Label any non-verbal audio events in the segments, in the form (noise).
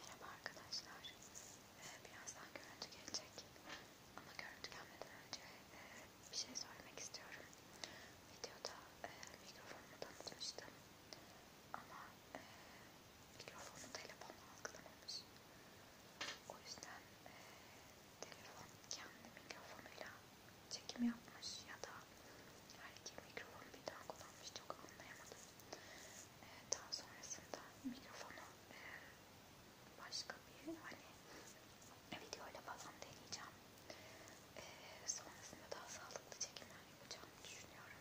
Merhaba arkadaşlar. Ee, birazdan görüntü gelecek. Ama görüntü gelmeden önce e, bir şey söylemek istiyorum. Videoda e, mikrofonumu tanıtmıştım. Ama e, mikrofonu telefonla algılamamış. O yüzden e, telefon kendi mikrofonuyla çekim yapmış ya da her iki mikrofonu birden kullanmış çok anlayamadım. Daha sonrasında mikrofonu e, başka bir hani videoyla falan deneyeceğim. E, sonrasında daha sağlıklı çekimler yapacağımı düşünüyorum.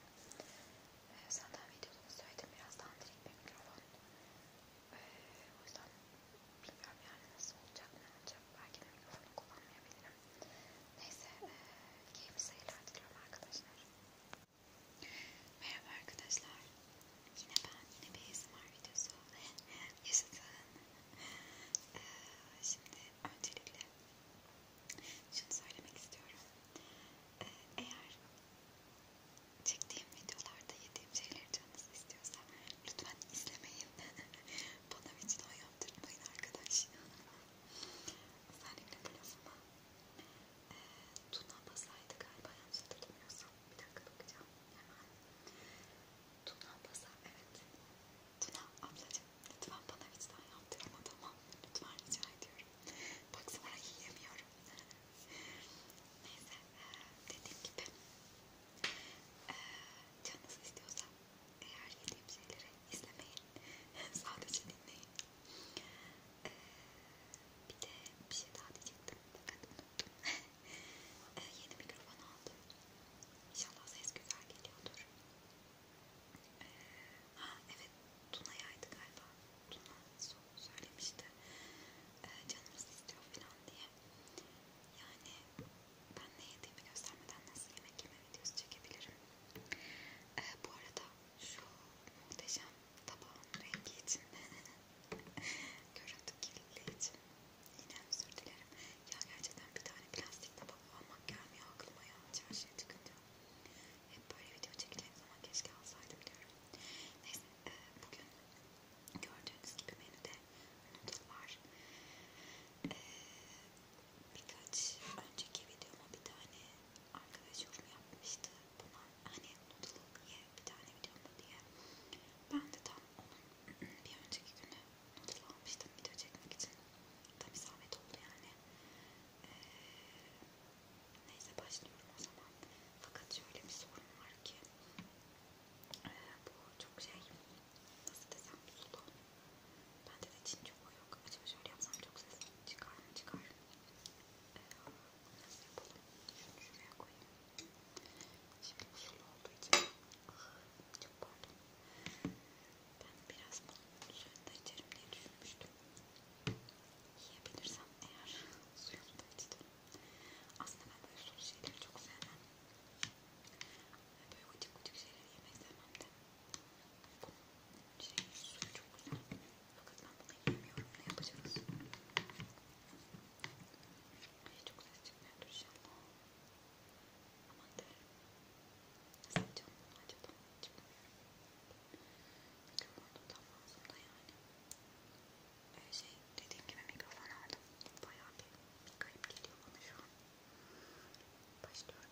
Zaten e, videoda söyledim biraz daha direkt bir mikrofon. O yüzden bilmiyorum yani nasıl olacak ne olacak. Belki de mikrofonu kullanmayabilirim. Neyse keyifli seyirler diliyorum arkadaşlar. Merhaba arkadaşlar. Yine ben, yine bir ASMR videosu (laughs) yaşadığım. Ee, şimdi öncelikle şunu söylemek istiyorum. Ee, eğer çektiğim videolarda yediğim şeyleri canınız istiyorsa lütfen izlemeyin. (laughs) Bana vicdan yaptırmayın arkadaş. Özellikle bu lafıma ee, Tuna Basar'dı galiba yanlış hatırlamıyorsam. Bir dakika bakacağım hemen. Tuna Basar evet. Tuna ablacığım lütfen bana vicdan yaptırma tamam. Lütfen rica ediyorum. Baksana yiyemiyorum. Neyse dediğim gibi ee, canınız istiyorsa eğer yediğim şeyleri izlemeyin (laughs) sadece dinleyin ee, bir de bir şey daha diyecektim fakat unuttum. (laughs) ee, yeni mikrofon aldım. İnşallah ses güzel geliyordur. Ee, ha evet Tuna'yaydı galiba. Tuna söylemişti. Ee, canımız istiyor falan diye. Yani ben ne yediğimi göstermeden nasıl yemek yeme videosu çekebilirim. Ee, bu arada şu muhteşem tabağın rengi için (laughs) görüntü kirliliği için yine özür dilerim ya gerçekten bir tane plastik tabak almak gelmiyor aklıma ya çarşıya çıkınca hep böyle video çekeceğim zaman keşke alsaydım diyorum neyse e, bugün gördüğünüz gibi menüde noodle var e, birkaç önceki videoma bir tane arkadaş yorum yapmıştı buna hani noodle ye bir tane videomda diye ben de tam onun bir önceki günü noodle almıştım video çekmek için tam isabet oldu yani ee, neyse başlıyorum o zaman fakat şöyle bir sorun var ki ee, bu çok şey nasıl desem sulu Bende de cin çok yok. Acaba şöyle yapsam çok ses çıkar mı? Çıkar. Ee, bunu nasıl yapalım? Şunu şuraya koyayım. Şimdi usulü olduğu için çok pardon. Ben biraz bunun suyunu da içerim diye düşünmüştüm. Yiyebilirsem eğer suyunu da içtim. Aslında ben böyle sulu şeyleri çok sevmem. Böyle ucuk ucuk şeyleri yemek sevmem de. Şey, suyu çok güzel. Fakat ben bunu yiyemiyorum. Ne yapacağız? Ay, çok ses çıkmıyordur inşallah. Aman derim. Nasıl yapacağım bunu acaba? Çıkmıyorum. Mikrofonu tam ağzımda yani. Ee, şey dediğim gibi mikrofon aldım. Bayağı bir, bir garip geliyor bana şu an. Başlıyorum.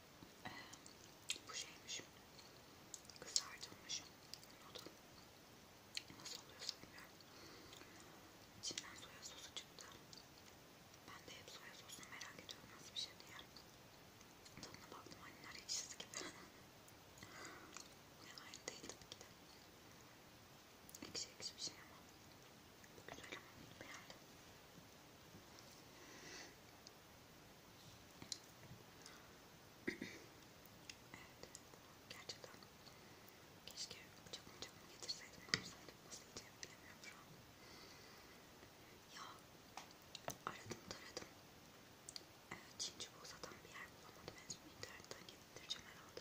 bu şeymiş kızartılmış noodle nasıl oluyorsa bilmiyorum içinden soya sosu çıktı ben de hep soya sosunu merak ediyorum nasıl bir şey diye tadına baktım anneler ekşisi gibi yani (laughs) aynı değil tabii ki de ekşi ekşi bir şey ama Güzel ama beğendim. evet. Gerçekten keşke bıçak bıçakını getirseydim. Yapsaydım. Nasıl yiyeceğimi bilemiyorum şu an. Ya aradım taradım. Evet, Çin çubuğu satan bir yer bulamadım. En son internetten getireceğim herhalde.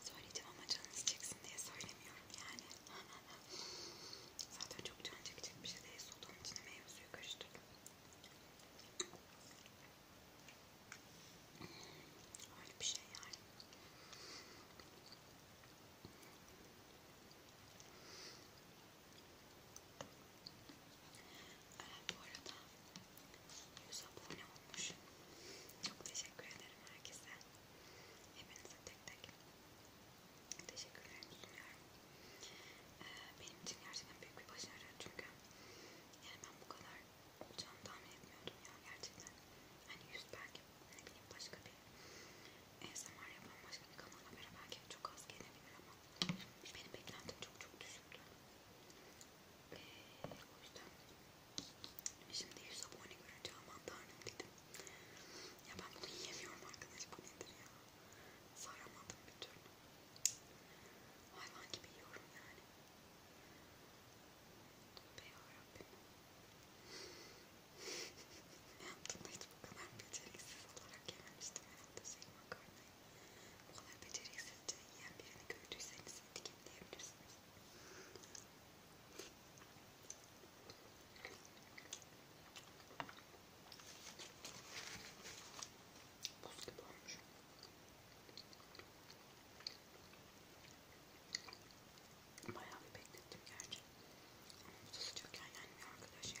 Söyleyeceğim ama canınız çeksin diye söylemiyorum yani. (laughs) Zaten çok can çekecek bir şey değil. Sodanın içine meyve suyu karıştırdım. Öyle bir şey yani. Ee, bu arada 100 abone olmuş. Çok teşekkür ederim herkese. Hepinize tek tek teşekkürlerimi sunuyorum. Ee, benim için gerçekten büyük bir başarı çünkü yani ben bu kadar olacağını tahmin etmiyordum ya gerçekten. Hani 100 belki ne bileyim başka bir ASMR yapan başka bir kanala göre belki çok az gelebilir ama benim beklentim çok çok düşüktü. Ee, o yüzden şimdi 100 abone görünce aman tanrım dedim. Ya ben bunu yiyemiyorum arkadaş bu nedir ya? Saramadım bir türlü. Hayvan gibi yiyorum yani. Be yarabbim. (laughs) Yaptığımda hiç bu kadar beceriksiz olarak yememiştim herhalde senin makarnayı. Bu kadar beceriksizce yiyen birini gördüyseniz etiketleyebilirsiniz. Buz gibi olmuş. Bayağı bir beklettim gerçi. Ama bu da sıcakken yenmiyor arkadaş ya.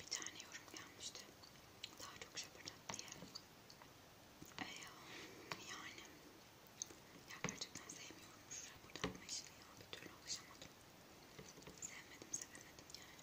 Bir tane yorum gelmişti. Daha çok şapırdat diye. Ee, yani ya gerçekten sevmiyorum şu şapırdatma işini ya. Bir türlü alışamadım. Sevmedim sevemedim yani.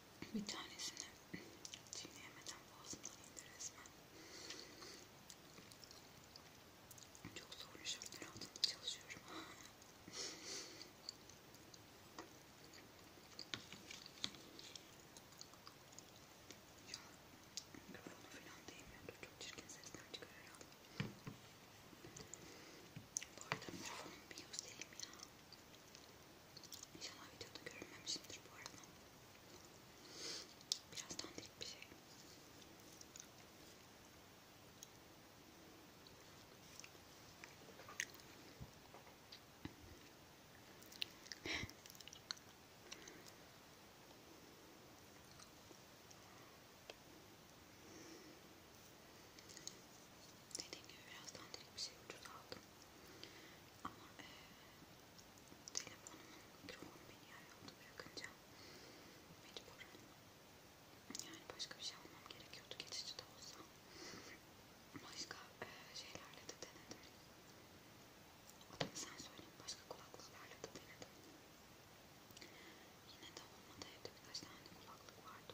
Bir tanesini çiğneyemeden boğazımdan indi resmen. Çok zorlu şartlar altında çalışıyorum. Ya mikrofonu falan değmiyordu. Çok çirkin sesler çıkarır aldım. Bu arada mikrofonum bir yüz değilim ya. İnşallah videoda görünmemişimdir bu arada. Biraz dandik bir şey. Dediğim gibi biraz dandik bir şey ucuz aldım. Ama e, telefonumun mikrofonu beni yer yolda bırakınca mecburen yani başka bir şey almam gerekiyordu geçici de olsa. Başka e, şeylerle de denedim. Adını sen söyleyin başka kulaklıklarla da denedim. Yine de olmadı evde birkaç tane kulaklık vardı.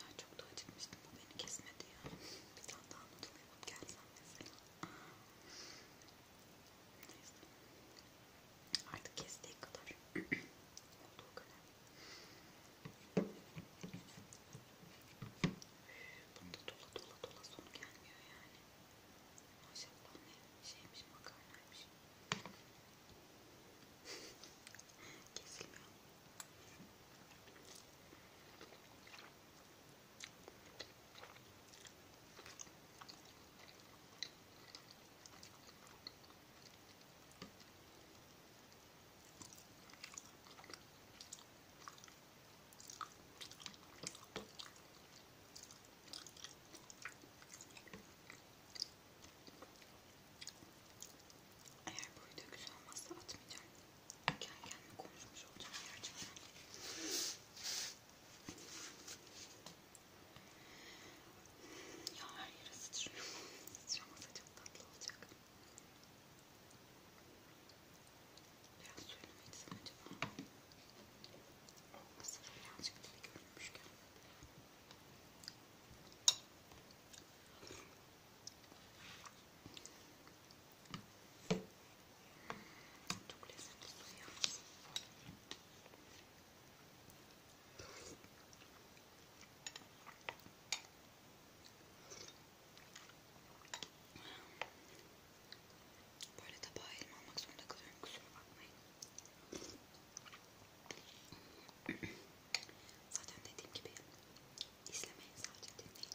Ya çok da acıkmıştım. Bu beni kesmedi ya. Bir tane daha anlatayım. Gelsen mesela. Neyse. Artık kestiği kadar. Olduğu kadar. Bunda dola dola dola son gelmiyor yani. Maşallah ne şeymiş makarnaymış. (laughs) Kesilmiyor. Eğer bu video güzel olmazsa atmayacağım. Kendi kendime konuşmuş olacağım gerçekten. Ya her yere sıçrıyor. Sıçramasa çok tatlı olacak. Biraz suyunu mu içsem acaba? Aslında birazcık dili görünmüşken. Çok lezzetli duruyor. Böyle tabağa elma almak zorunda kalıyorum. Kusura bakmayın. Zaten dediğim gibi izlemeyin sadece dinleyin.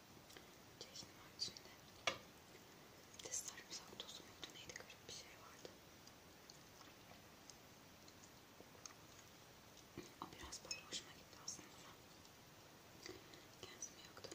Çeşni var içinde. Bir de sarımsak tozu muydu neydi garip bir şey vardı. O biraz böyle hoşuma gitti aslında. Kendimi yaktım.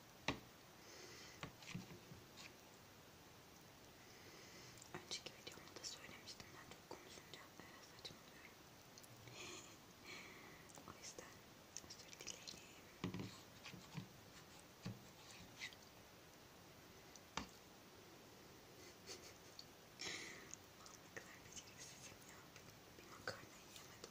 Önceki videomda da söylemiştim ben çok konuşunca evet, saçmalıyorum. (laughs) o yüzden özür dilerim. Vallahi (laughs) ne kadar beceriksizim ya. Bir makarna yiyemedim.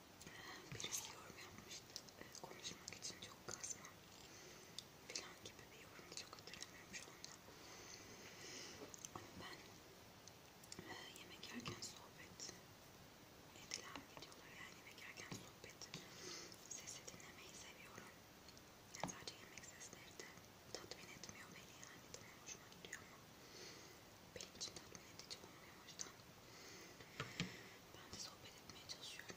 Birisi yorum yapmıştı. Ee, konuşmak için çok kasma filan gibi bir yorum çok hatırlamıyorum şu anda. Ama ben e, yemek yerken sohbet edilen videolar yani yemek yerken sohbet sesi dinlemeyi seviyorum. Yani sadece yemek sesleri de tatmin etmiyor beni yani. Tamam hoşuma gidiyor ama benim için tatmin edici olmuyor o yüzden ben de sohbet etmeye çalışıyorum.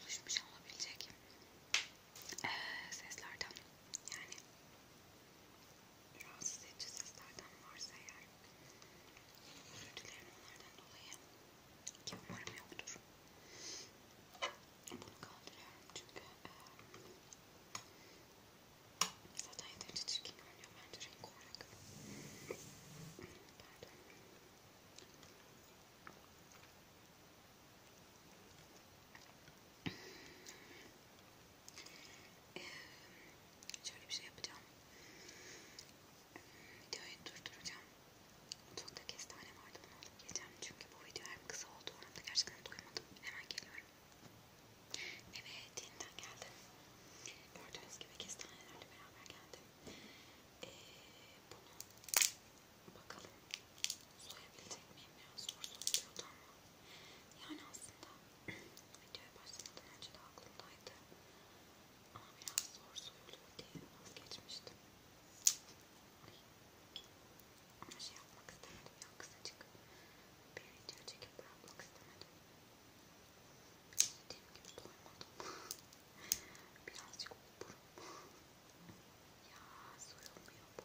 oluşmuş olabilecek e, seslerden yani rahatsız edici seslerden varsa eğer özür dilerim onlardan dolayı ki umarım yoktur. Bunu kaldırıyorum çünkü e, zaten yeterince çirkin görünüyor bence renk olarak. Pardon. Ee, şöyle bir şey yapacağım. Ee, videoyu durduracağım. Mutfakta kestane vardı bunu alıp geleceğim. Çünkü bu video hem kısa oldu hem de gerçekten doymadım. Hemen geliyorum. Evet yeniden geldim. Gördüğünüz gibi kestanelerle beraber geldim. Ee, bunu bakalım soyabilecek miyim ya? Zor soyuluyordu ama. Yani aslında videoya başlamadan önce de aklımdaydı ama biraz zor soyuluyor diye vazgeçmiştim. Ay. Ama şey yapmak istemedim ya kısacık bir video çekip bırakmak istemedim. Dediğim gibi doymadım. (laughs) Birazcık oburum. ya soyulmuyor bu.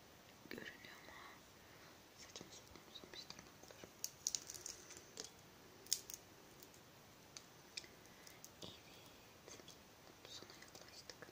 görünüyor mu? Saçımı saçımı uzamış tırnaklarım. Evet. Sona yaklaştık. Hadi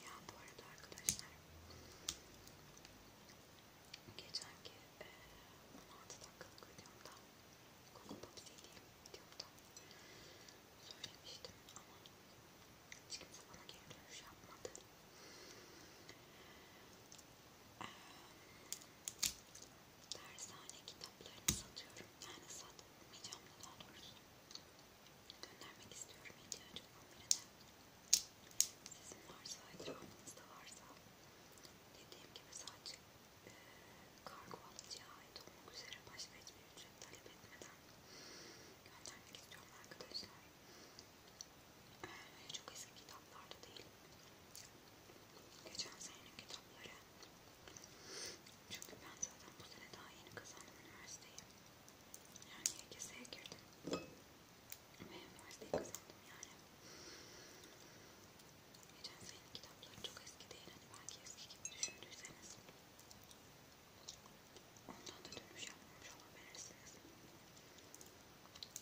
Ya bu arada arkadaşlar geçenki e, 16 dakikalık videomda Google Pops yediğim videomda söylemiştim ama hiç kimse bana geri dönüş yapmadı. Ee, dershane kitaplarını satıyorum. Yani satmayacağım da daha doğrusu. Göndermek istiyorum ihtiyacım olan birine. Sizin varsa, etrafınızda varsa dediğim gibi sadece e, kargo alıcıya ait olmak üzere başka hiçbir ücret talep etmeden göndermek istiyorum arkadaşlar. Ee, çok eski kitaplarda değil. Geçen senenin kitapları. Çünkü ben zaten bu sene daha yeni kazandım üniversiteyi. Yani YKS'ye girdim. Ve üniversiteyi kazandım yani. Geçen senenin kitapları çok eski değil. Hani belki eski gibi düşündüyseniz. Ondan da dönüş yapmamış olabilirsiniz.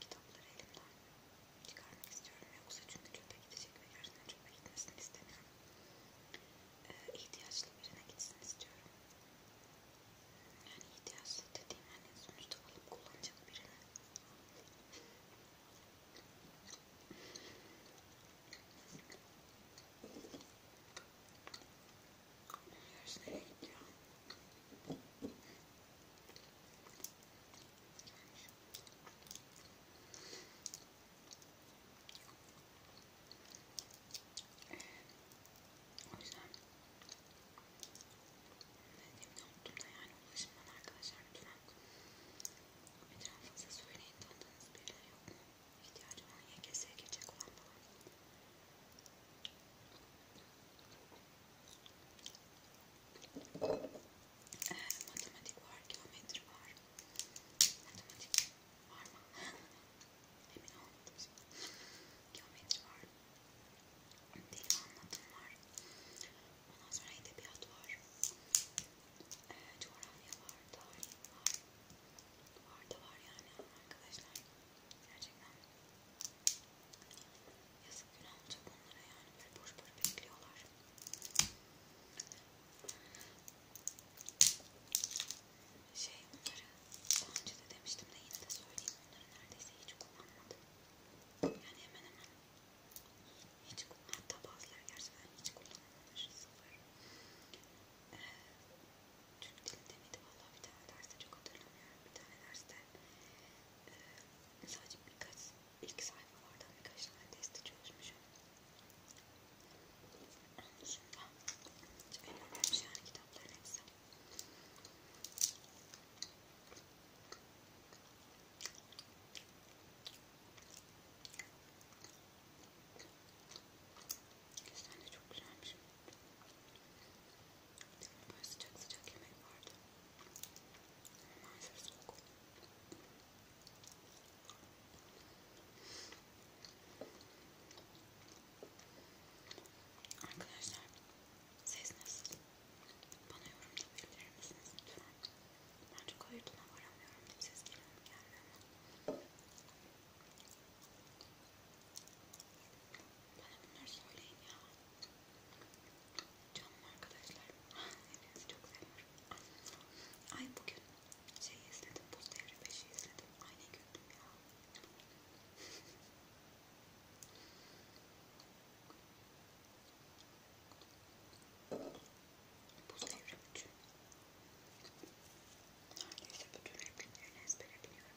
kitapları elimden çıkarmak istiyorum yoksa çünkü çöpe gidecek ve gerçekten çöpe gitmesini istemiyorum. Ee, ihtiyaçlı birine gitsin istiyorum. Yani ihtiyaçlı dediğim hani sonuçta alıp kullanacak birine. Kolonya nereye gidiyor? O yüzden dediğimde unuttum da yani ulaşın bana arkadaşlar lütfen etrafınıza söyleyin tanıdığınız birileri yok mu? İhtiyacı olan YGS'ye girecek olan falan. Ee, matematik var, geometri var. Matematik var mı? Emin olmadım şimdi. Geometri var. Dil anlatım var. Ondan sonra edebiyat var. Ee, coğrafya var, tarih var. Var da var yani arkadaşlar. Gerçekten Yazık günah olacak onlara yani böyle boş boş bekliyorlar. Şey onları daha önce de demiştim de yine de söyleyeyim onları neredeyse hiç kullanmadım. Yani hemen hemen hiç hatta bazıları gerçekten hiç kullanılmamış sıfır. Ee, Türk dilinde miydi? Vallahi bir tane derste çok hatırlamıyorum. Bir tane derste e, sadece birkaç ilk sayfalardan birkaç tane testi çözmüşüm. Onun dışında en önemli şey yani kitapların hepsi. Sen de çok güzelmiş. Böyle sıcak sıcak yemek vardı. Maalesef soğuk. Arkadaşlar siz nasıl? Bana yorumda bildirir misiniz lütfen? Ben çok ayırtına varamıyorum. Siz gelin gelmiyor mu? Bana bunları söyleyin ya. Canım arkadaşlar. Hepinizi çok seviyorum. Ay bugün şey izledim. Buz Devri 5'i izledim. Ay ne güldüm ya. Buz Devri 3'ü. Neredeyse bütün repliklerini ezbere biliyorum.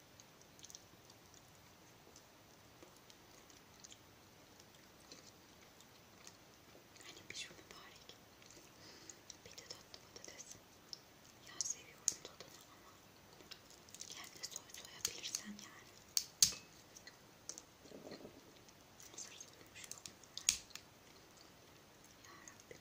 Hani pişme mübarek. Bir de tatlı patates. Ya seviyorum tadını ama kendi soy soyabilirsen yani. Hazır soyulmuş yok. Yarabbim.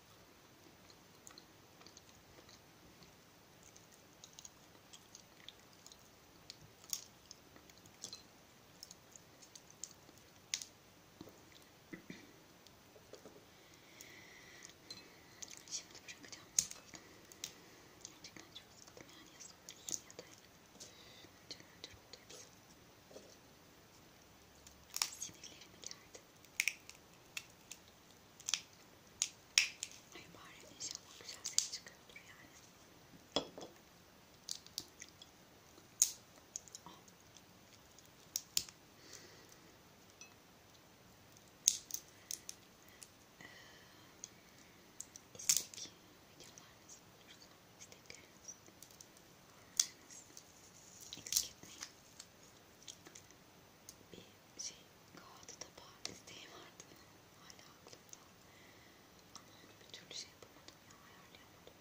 Şimdi bırakacağım sıkıldım. Gerçekten çok sıkıldım yani ya soğursun ya da canım canım duyuyorsun. Sinirlerimi gerdi. Ay bari inşallah güzel ses çıkıyordur yani. Ah. Ee, istek videolarınız olursa istekleriniz, yorumlarınız eksik etmeyin bir şey kağıdı tabağı isteği vardı hala aklımda ama onu bir türlü şey yapamadım ya ayarlayamadım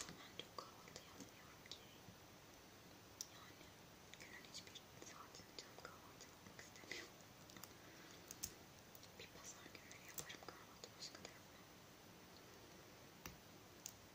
ya ben çok kahvaltı yapmıyorum ki yani günün hiçbir saatini canım kahvaltı yapmak istemiyorum bir pazar günleri yaparım kahvaltı başka da yapmam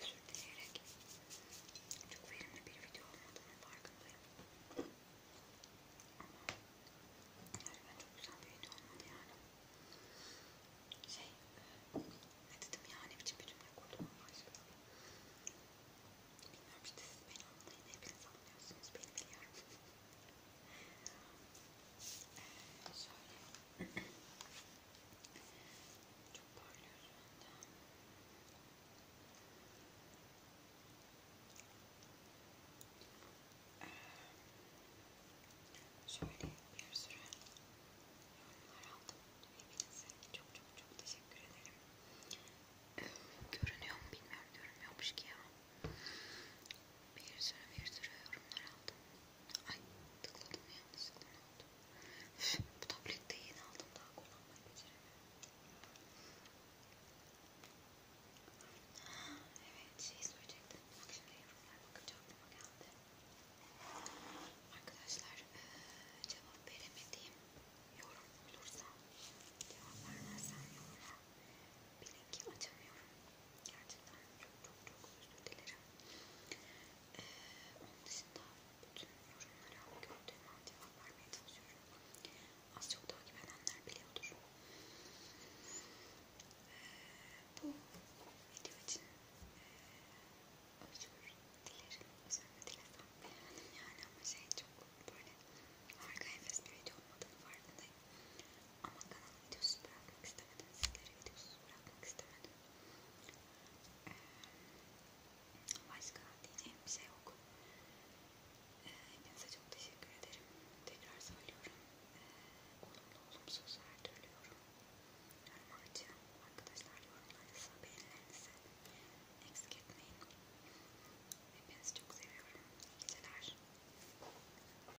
Özür dileyerek çok verimli bir video olmadığının farkındayım. Ama gerçekten çok güzel bir video olmadı yani. Şey, ne dedim ya ne biçim bir cümle kurdum Allah aşkına. Bilmiyorum işte siz beni anlayın, hepiniz anlıyorsunuz, beni biliyorum. Şöyle bir sürü yorumlar aldım. Hepinize çok çok çok teşekkür ederim. Görünüyor mu bilmiyorum. Görünmüyormuş ki ya. Bir sürü bir sürü yorumlar aldım. Ay tıkladım yanlışlıkla ne oldu? Üf, bu tablette yeni aldım daha kullanmayı beceremiyorum. Ha, evet şey söyleyecektim. Bak şimdi yorumlar bakınca aklıma geldi. Arkadaşlar e, cevap veremediğim yorum olursa cevap vermezsem yoruma bilin ki açamıyorum. Gerçekten çok çok çok özür dilerim. Ee, onun dışında bütün yorumlara gördüğüm an cevap vermeye çalışıyorum. Az çok takip edenler biliyordur. Ee, bu video için e, özür dilerim. Özür dilerim. Beğendim yani ama şey çok böyle harika enfes bir video olmadığını farkındayım. Ama kanal videosu bırakmak istemedim. Sizlere videosuz bırakmak istemedim. Ee, başka diyeceğim bir şey yok. Ee, hepinize çok teşekkür ederim. Tekrar söylüyorum. Ee, olumlu olumsuz her türlü yorum. Yoruma açıyorum. Arkadaşlar yorumlarınızı, beğenilerinizi eksik etmeyin. Hepinizi çok seviyorum. İyi geceler.